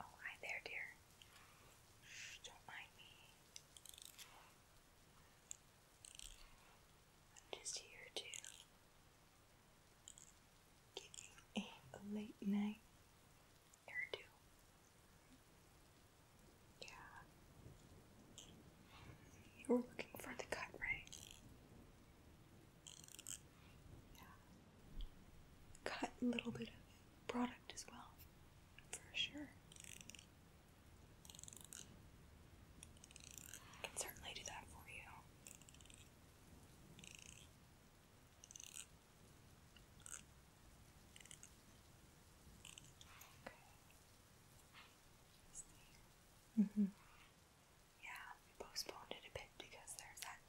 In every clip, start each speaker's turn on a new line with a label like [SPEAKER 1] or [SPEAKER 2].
[SPEAKER 1] Oh, hi there, dear. don't mind me. I'm just here to give you a late night hairdo. Yeah, you were looking for the cut, right? Yeah. Cut a little bit of product as well, for sure. I can certainly do that for you. Okay. Mm -hmm. Yeah, postponed it a bit because there's that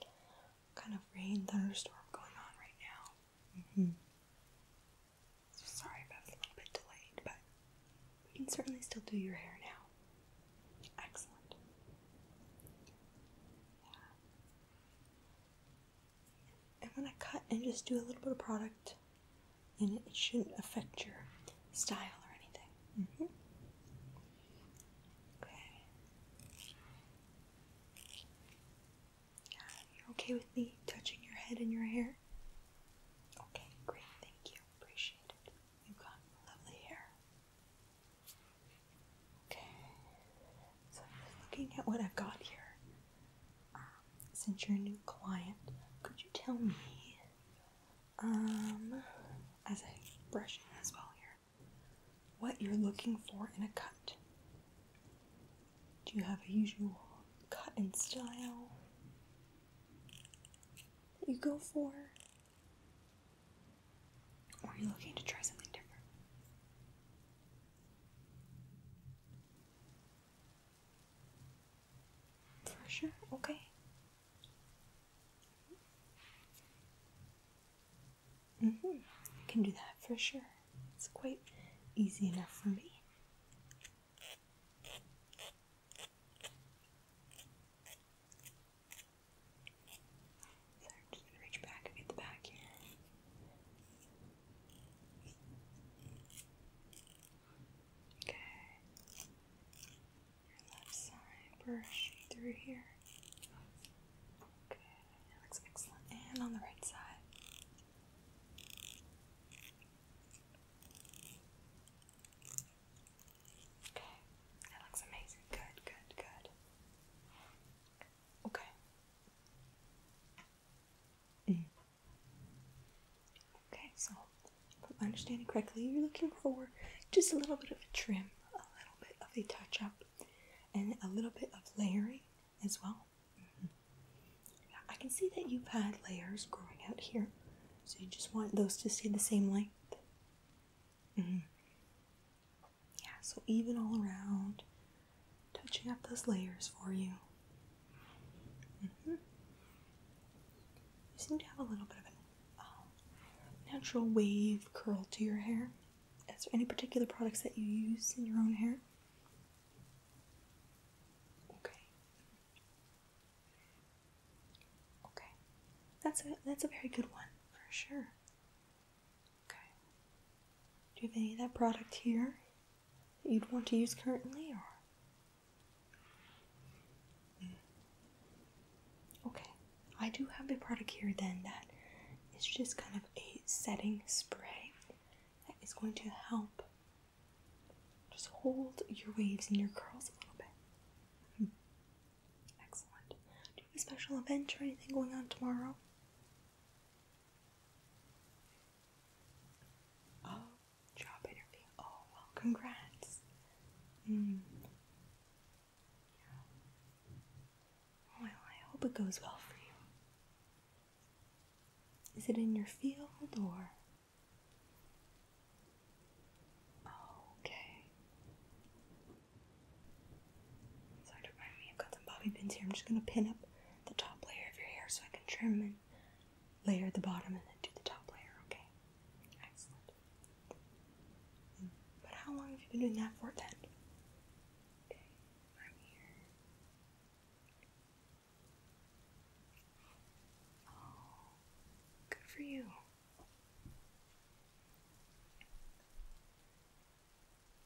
[SPEAKER 1] kind of rain thunderstorm going on right now. Mm -hmm. sorry if a little bit delayed, but we can certainly still do your hair now. Excellent. I'm to cut and just do a little bit of product and it shouldn't affect your style or anything. Mm-hmm. Okay. Yeah, you're okay with me touching your head and your hair? Okay, great. Thank you. Appreciate it. You've got lovely hair. Okay. So I'm just looking at what I've got here. Um, since you're a new client, could you tell me um, as a brushing as well here, what you're looking for in a cut. Do you have a usual cut and style that you go for? Or are you looking to try something different? For sure, okay. Mm hmm. I can do that for sure. It's quite easy enough for me. So I'm just gonna reach back and get the back here. Okay. Your left side, brush through here. Okay, that looks excellent. And on the right side. Okay, that looks amazing. Good, good, good. Okay. Mm. Okay, so if I'm understanding correctly, you're looking for just a little bit of a trim, a little bit of a touch up, and a little bit of layering as well. Mm-hmm. I can see that you've had layers growing out here, so you just want those to stay the same length. Mm-hmm. Yeah, so even all around, touching up those layers for you. Mm-hmm. You seem to have a little bit of a um, natural wave curl to your hair. Is there any particular products that you use in your own hair? Okay. Okay. That's a that's a very good one for sure. Okay. Do you have any of that product here that you'd want to use currently or Okay, I do have a product here then that is just kind of a setting spray that is going to help just hold your waves and your curls a little bit. Hmm. Excellent. Do you have a special event or anything going on tomorrow? Um, Job interview. Oh, well, congrats. Hmm. Yeah. Well, I hope it goes well for you. Is it in your field or? okay. Sorry to remind me, I've got some bobby pins here. I'm just gonna pin up the top layer of your hair so I can trim and layer at the bottom and then do the top layer, okay? Excellent. But how long have you been doing that for then? Oh, good for you.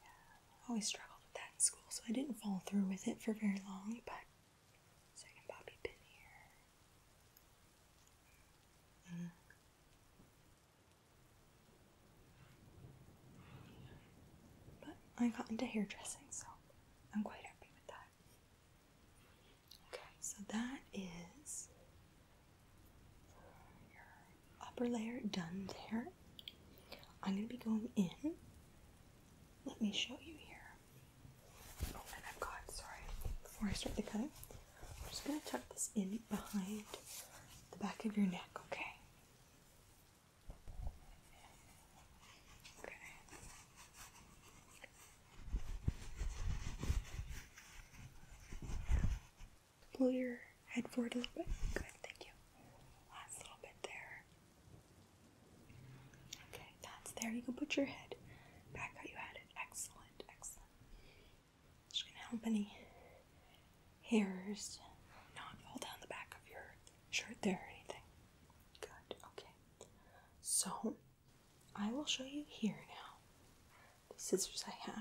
[SPEAKER 1] Yeah, I always struggled with that in school, so I didn't fall through with it for very long, but Second bobby pin here. Mm-hmm. But I got into hairdressing, so I'm quite happy with that. Okay, so that is your upper layer done there. I'm going to be going in. Let me show you here. Oh, and i sorry, before I start the cutting, I'm just going to tuck this in behind the back of your neck, okay? Okay. Blow your head forward a little bit. Good, thank you. Last little bit there. Okay there. You can put your head back how you had it. Excellent, excellent. Just gonna help any hairs not fall down the back of your shirt there or anything. Good, okay. So I will show you here now the scissors I've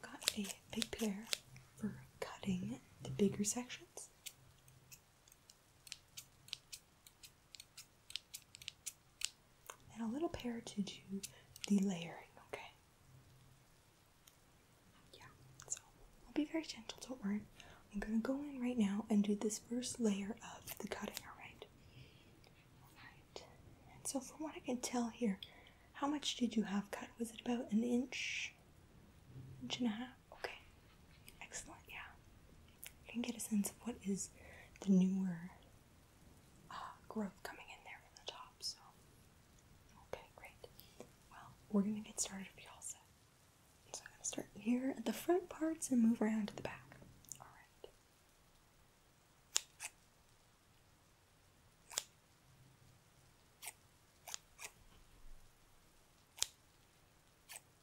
[SPEAKER 1] got a big pair for cutting the bigger sections and a little pair to do the layering, okay? Yeah, so I'll be very gentle, don't worry. I'm gonna go in right now and do this first layer of the cutting, alright? Alright, and so from what I can tell here, how much did you have cut? Was it about an inch? Inch and a half? Okay, excellent, yeah you can get a sense of what is the newer uh, growth coming in there from the top. So, okay, great. Well, we're gonna get started if you all set. So I'm gonna start here at the front parts and move around to the back. All right.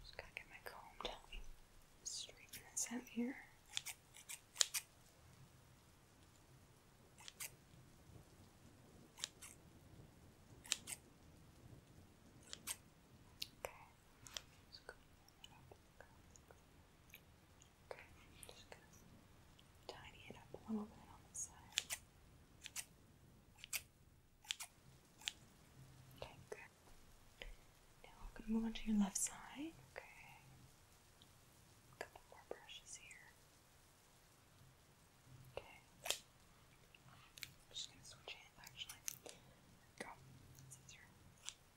[SPEAKER 1] Just gotta get my comb Straighten this out here. Okay. Just go go. Okay, I'm just gonna tidy it up a little bit on the side. Okay, good. Now we're gonna move on to your left side. Okay. A couple more brushes here. Okay. just gonna switch hands actually. go. That's easier. Okay.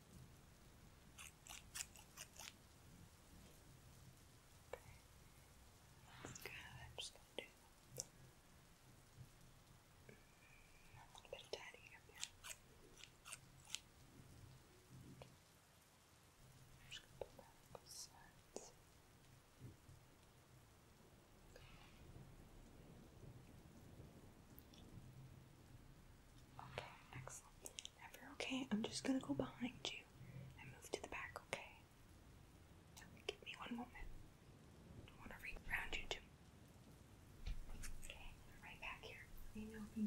[SPEAKER 1] That's good. I'm just going to do a little bit of tidying just going to put that Okay, excellent. if you're okay, I'm just gonna go behind you and move to the back, okay? give me one moment. I want to reach around you too. Okay, right back here. Let know if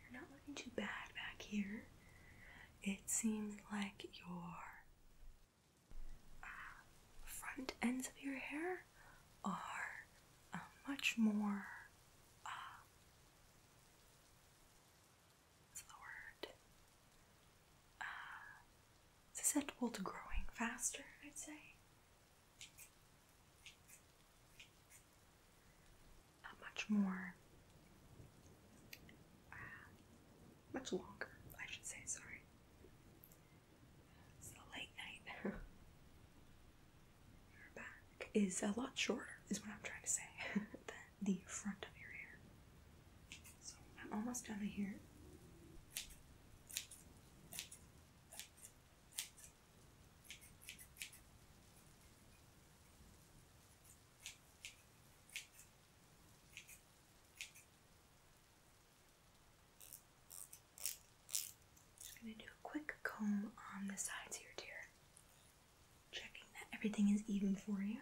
[SPEAKER 1] You're not looking too bad back here. It seems like your uh, front ends of your hair are uh, much more. Uh, what's the word? Uh, susceptible to growing faster, I'd say. Not uh, much more. Uh, much longer, I should say, sorry. It's a late night. your back is a lot shorter, is what I'm trying to say, than the front of your hair. So I'm almost done here. Just going to do a quick comb on the sides here, dear. Checking that everything is even for you.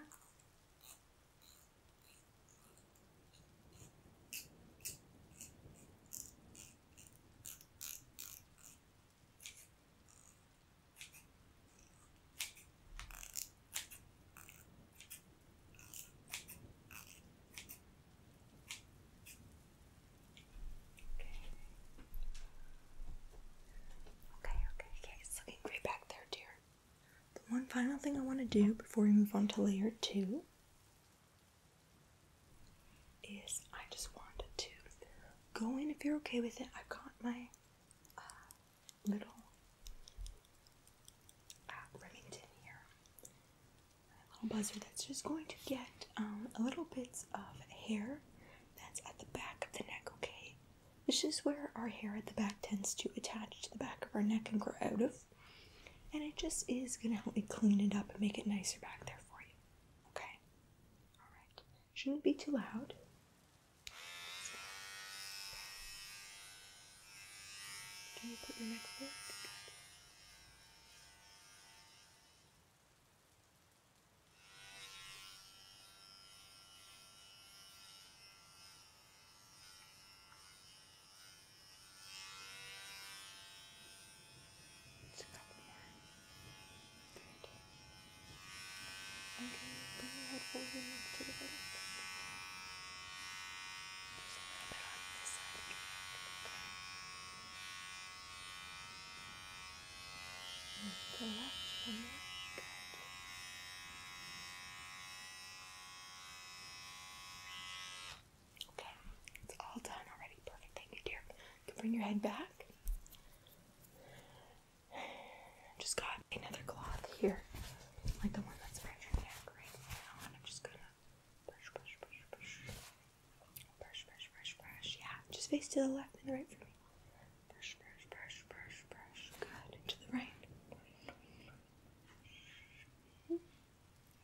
[SPEAKER 1] Okay, okay, okay. It's looking great back there, dear. one final thing I want to do before we move on to layer two is I just wanted to go in if you're okay with it. I've got my uh, little uh, Remington here. A little buzzer that's just going to get um, a little bits of hair that's at the back of the neck, okay? This is where our hair at the back tends to attach to the back of our neck and grow out of. And it just is going to help me clean it up and make it nicer back there for you. Okay? Alright. Shouldn't be too loud. Can you put your neck forward? Good. It's a couple more. Okay, bring your head forward to the right. Just a little on this side. Okay. to the left one Okay, it's all done already. Perfect. Thank you, dear. can bring your head back. Just got another cloth here, like the one that's around your neck now, I'm just gonna brush, brush, brush, brush, brush, brush, brush, brush. Yeah, just face to the left and the right for me. Brush, brush, brush, brush, brush. Good. to the right.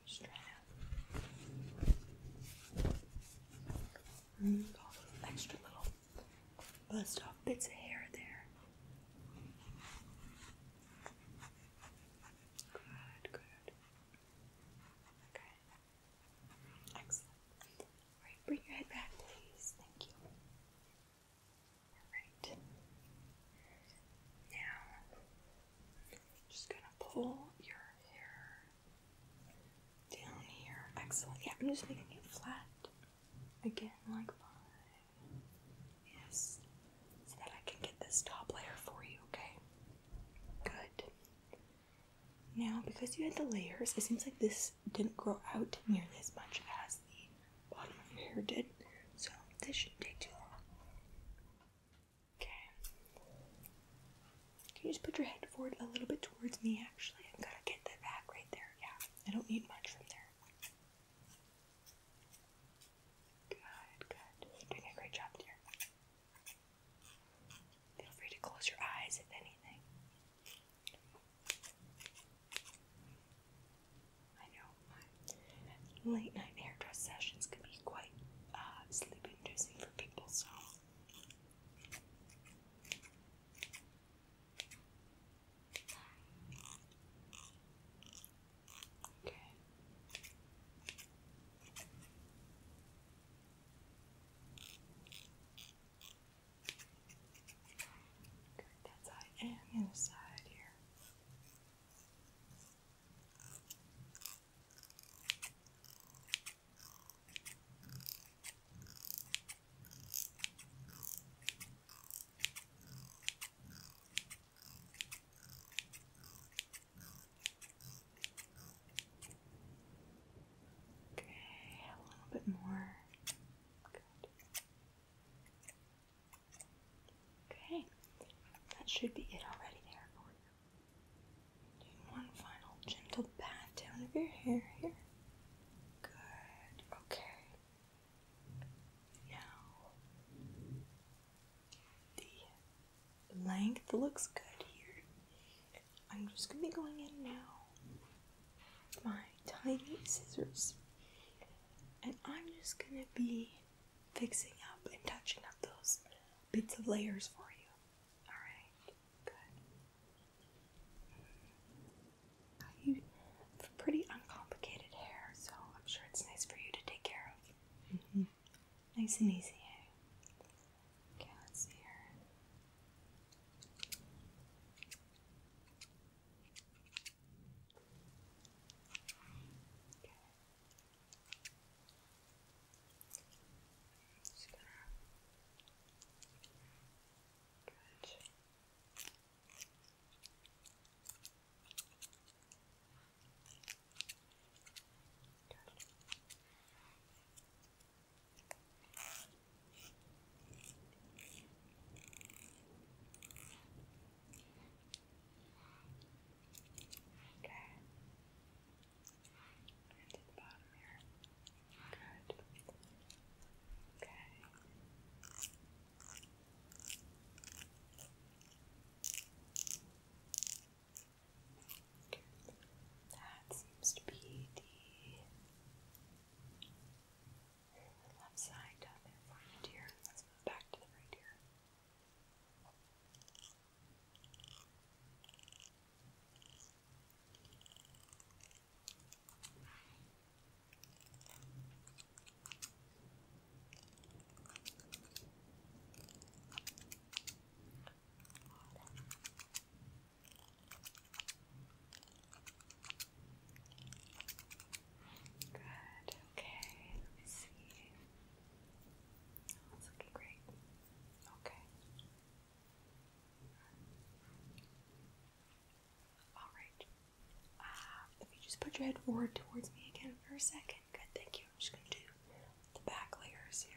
[SPEAKER 1] Just mm, try extra little Bust off bits of hair there. Good, good. Okay. Excellent. Alright, bring your head back, please. Thank you. Alright. Now, just gonna pull your hair down here. Excellent. Yeah, I'm just making it flat again, like mine. Yes, so that I can get this top layer for you. Okay. Good. Now, because you had the layers, it seems like this didn't grow out nearly as much as the bottom of your hair did. So this shouldn't take too long. Okay. Can you just put your head forward a little bit towards me? Actually, I'm gonna get that back right there. Yeah. I don't eat much from there. Good, good. doing a great job, dear. Feel free to close your eyes if anything. I know late night hairdress sessions can be quite uh, sleep inducing for people, so Okay. Good, that's high and the side here. Okay, a little bit more. Good. Okay, that should be it already there for you. one final gentle pat down of your hair here. Good. Okay. Now the length looks good here. I'm just gonna be going in now. My tiny scissors. And I'm just gonna be fixing up and touching up those bits of layers for you. Alright, good. You have pretty uncomplicated hair, so I'm sure it's nice for you to take care of. Mm-hmm. Nice and easy, eh? Okay, let's see here. Good. Okay. And to the bottom here. Good. Okay. That seems to be the left side down there for right ear. Let's move back to the right ear. Good, okay, let me see. Oh, that's looking great. Okay. Alright. Uh, if you just put your head forward towards me again for a second. Good, thank you. I'm just going to do the back layers here.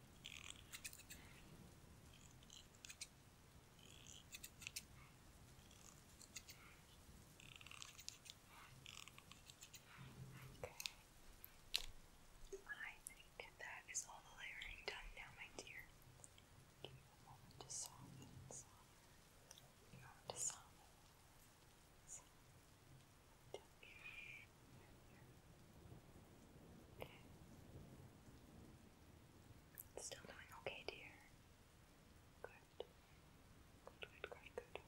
[SPEAKER 1] Okay. I think that is all the layering done now, my dear. Give you a moment to soften, soften, a moment to soften. Okay. Still doing okay, dear. Good. Good, good, good, good.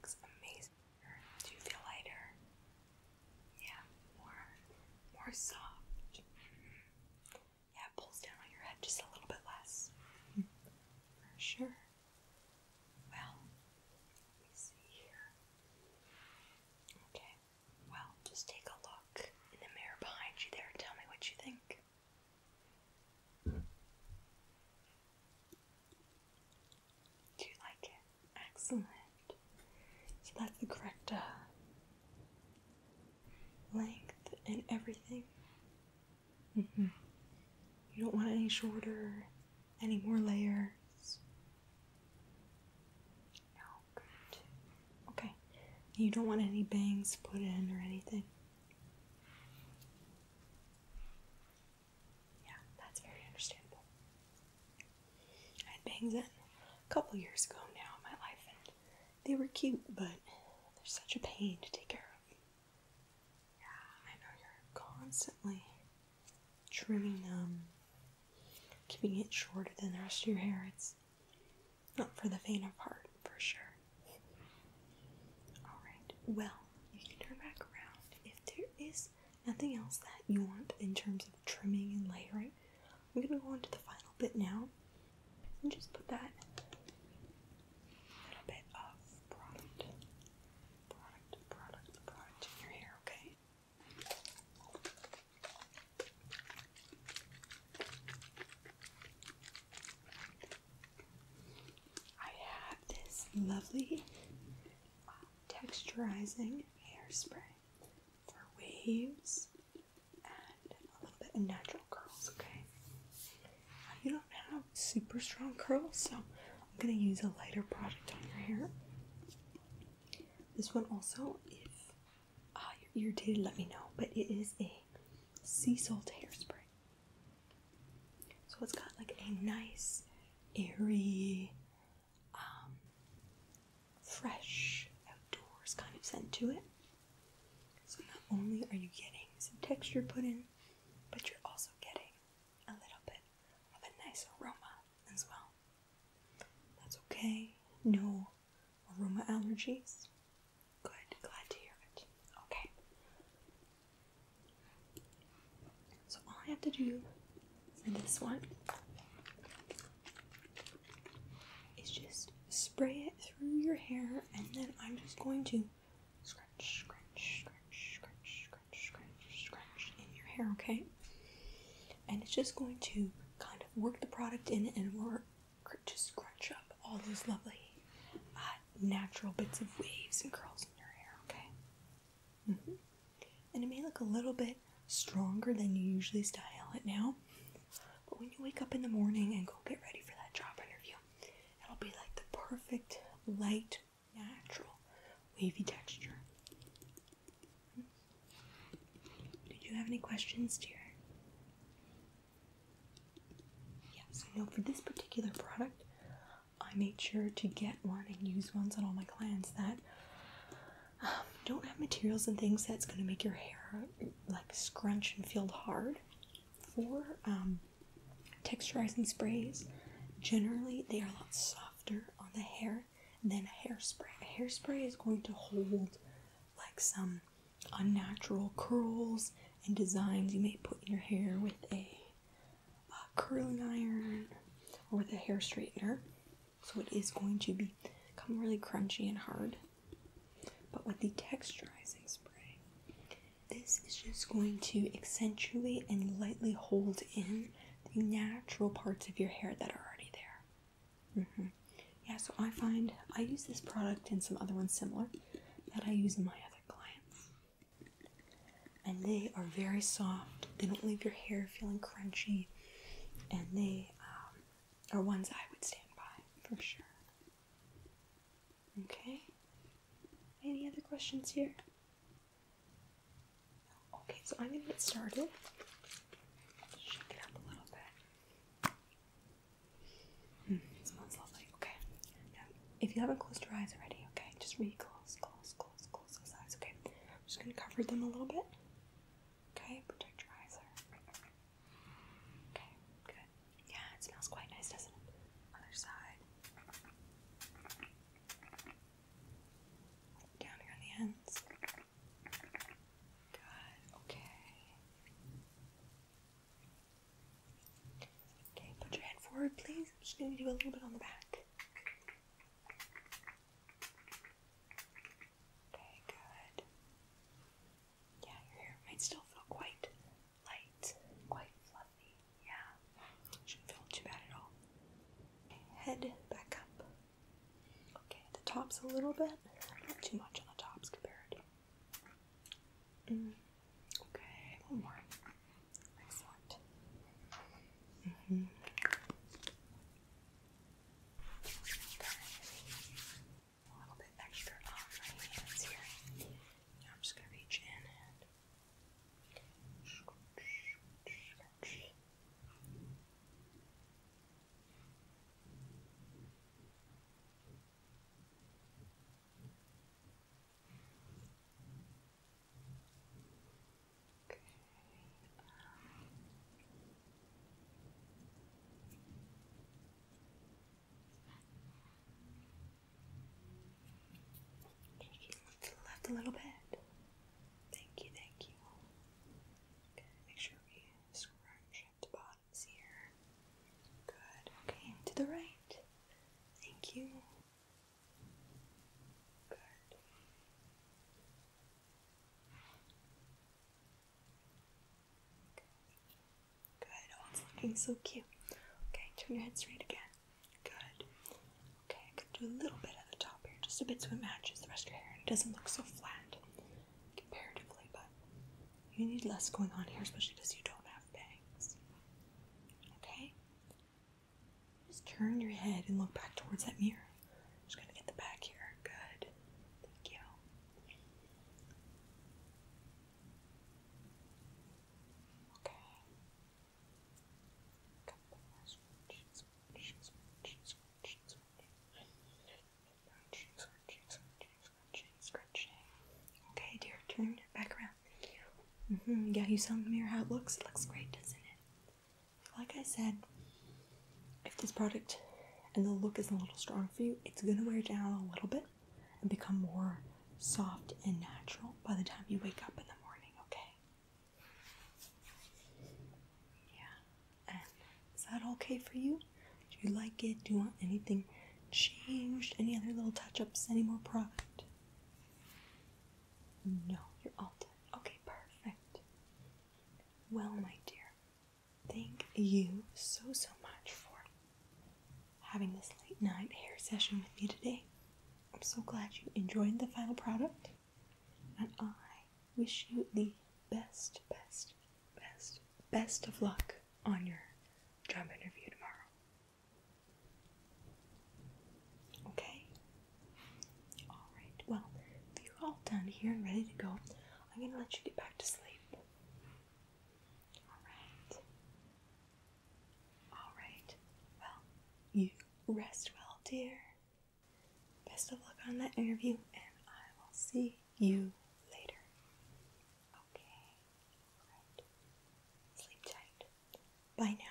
[SPEAKER 1] Looks amazing do you feel lighter? Yeah, more, more soft. Yeah, pulls down on your head just a little bit less. For sure. Well, let see here. Okay, well, just take a look in the mirror behind you there. Tell me what you think. Mm-hmm. Do you like it? Excellent. So that's the correct uh, length and everything. Mm -hmm. You don't want any shorter, any more layers. No, good. Okay. You don't want any bangs put in or anything. Yeah, that's very understandable. I had bangs in a couple years ago now in my life, and they were cute, but they're such a pain to take care of. Yeah, I know you're constantly trimming them, keeping it shorter than the rest of your hair. It's not for the faint of heart, for sure. Alright, well, you can turn back around if there is nothing else that you want in terms of trimming and layering. I'm going to go on to the final bit now and just put that little bit of product, product, product, product in your hair, okay? I have this lovely texturizing hairspray for waves and a little bit of natural curls, okay? You don't have super strong curls, so I'm gonna use a lighter product on your hair. This one also, if ah, you're irritated, let me know, but it is a sea salt hairspray. So it's got like a nice, airy, um, fresh outdoors kind of scent to it. So not only are you getting some texture put in, but you're also getting a little bit of a nice aroma as well. That's okay. No aroma allergies. Good. Glad to hear it. Okay. So all I have to do for this one is just spray it through your hair and then I'm just going to scratch, scratch, scratch, scratch, scratch, scratch, scratch in your hair, okay? And it's just going to kind of work the product in and work just scratch up all those lovely uh, natural bits of waves and curls in your hair, okay? Mm-hmm. And it may look a little bit stronger than you usually style it now, but when you wake up in the morning and go get ready for that job interview, it'll be like the perfect light, natural, wavy texture. Mm Did you have any questions, dear? Yes. so no, for this particular product, I made sure to get one and use ones on all my clients that um, don't have materials and things that's going to make your hair like scrunch and feel hard. For um, texturizing sprays, generally they are a lot softer on the hair than hairspray. hairspray is going to hold like some unnatural curls and designs you may put in your hair with a a curling iron or the hair straightener. So it is going to become really crunchy and hard. But with the texturizing spray, this is just going to accentuate and lightly hold in the natural parts of your hair that are already there. Mm-hmm. Yeah, so I find I use this product and some other ones similar that I use in my other clients and they are very soft. They don't leave your hair feeling crunchy, and they um, are ones I would stand by for sure. Okay. Any other questions here? Okay, so I'm gonna get started. Shake it up a little bit. Hmm, okay. if you haven't closed your eyes already, okay, just really close, close, close, close okay? I'm just gonna cover them a little bit. Okay, protect your eyes Okay, good. Yeah, it smells quite nice, doesn't it? Other side. Down here on the ends. Good, okay. Okay, put your head forward, please. I'm just gonna do a little bit on the back. Okay, good. Yeah, your hair might still feel quite light, quite fluffy. Yeah, shouldn't feel too bad at all. head back up. Okay, the top's a little bit, not too much on the top's compared. Mm. Okay, one more. Excellent. Mm A little bit extra on my hands here. I'm just going to reach in and Okay. Taking to the left a little bit. Thank you, thank you. Okay, make sure we scrunch the bottoms here. Good. Okay, to the right. Thank you. Good. Good. Oh, it's looking so cute. Okay, turn your head straight again. Good. Okay, I do a little bit at the top here, just a bit so it matches the rest of your hair and it doesn't look so flat comparatively, but you need less going on here, especially because you don't have bangs. Okay? Just turn your head and look back towards that mirror. just gonna get the back here. Good. Thank you. Okay. Okay, dear, turn your back around. Thank you. hmm Yeah, you saw in the mirror how it looks. It looks great, doesn't it? like I said, if this product and the look is a little strong for you, it's gonna wear down a little bit and become more soft and natural by the time you wake up in the morning, okay? Yeah. is that okay for you? Do you like it? Do you want anything changed? Any other little touch ups? Any more product? No, you're Okay, perfect. Well, my dear, thank you so, so much for having this late night hair session with me today. I'm so glad you enjoyed the final product, and I wish you the best, best, best, best of luck on your job interview tomorrow. Okay? Alright, well, if you're all done here and ready to go, I'm going to let you get back to sleep. Alright. Alright. Well, you rest well, dear. Best of luck on that interview, and I will see you later. Okay. Alright. Sleep tight. Bye now.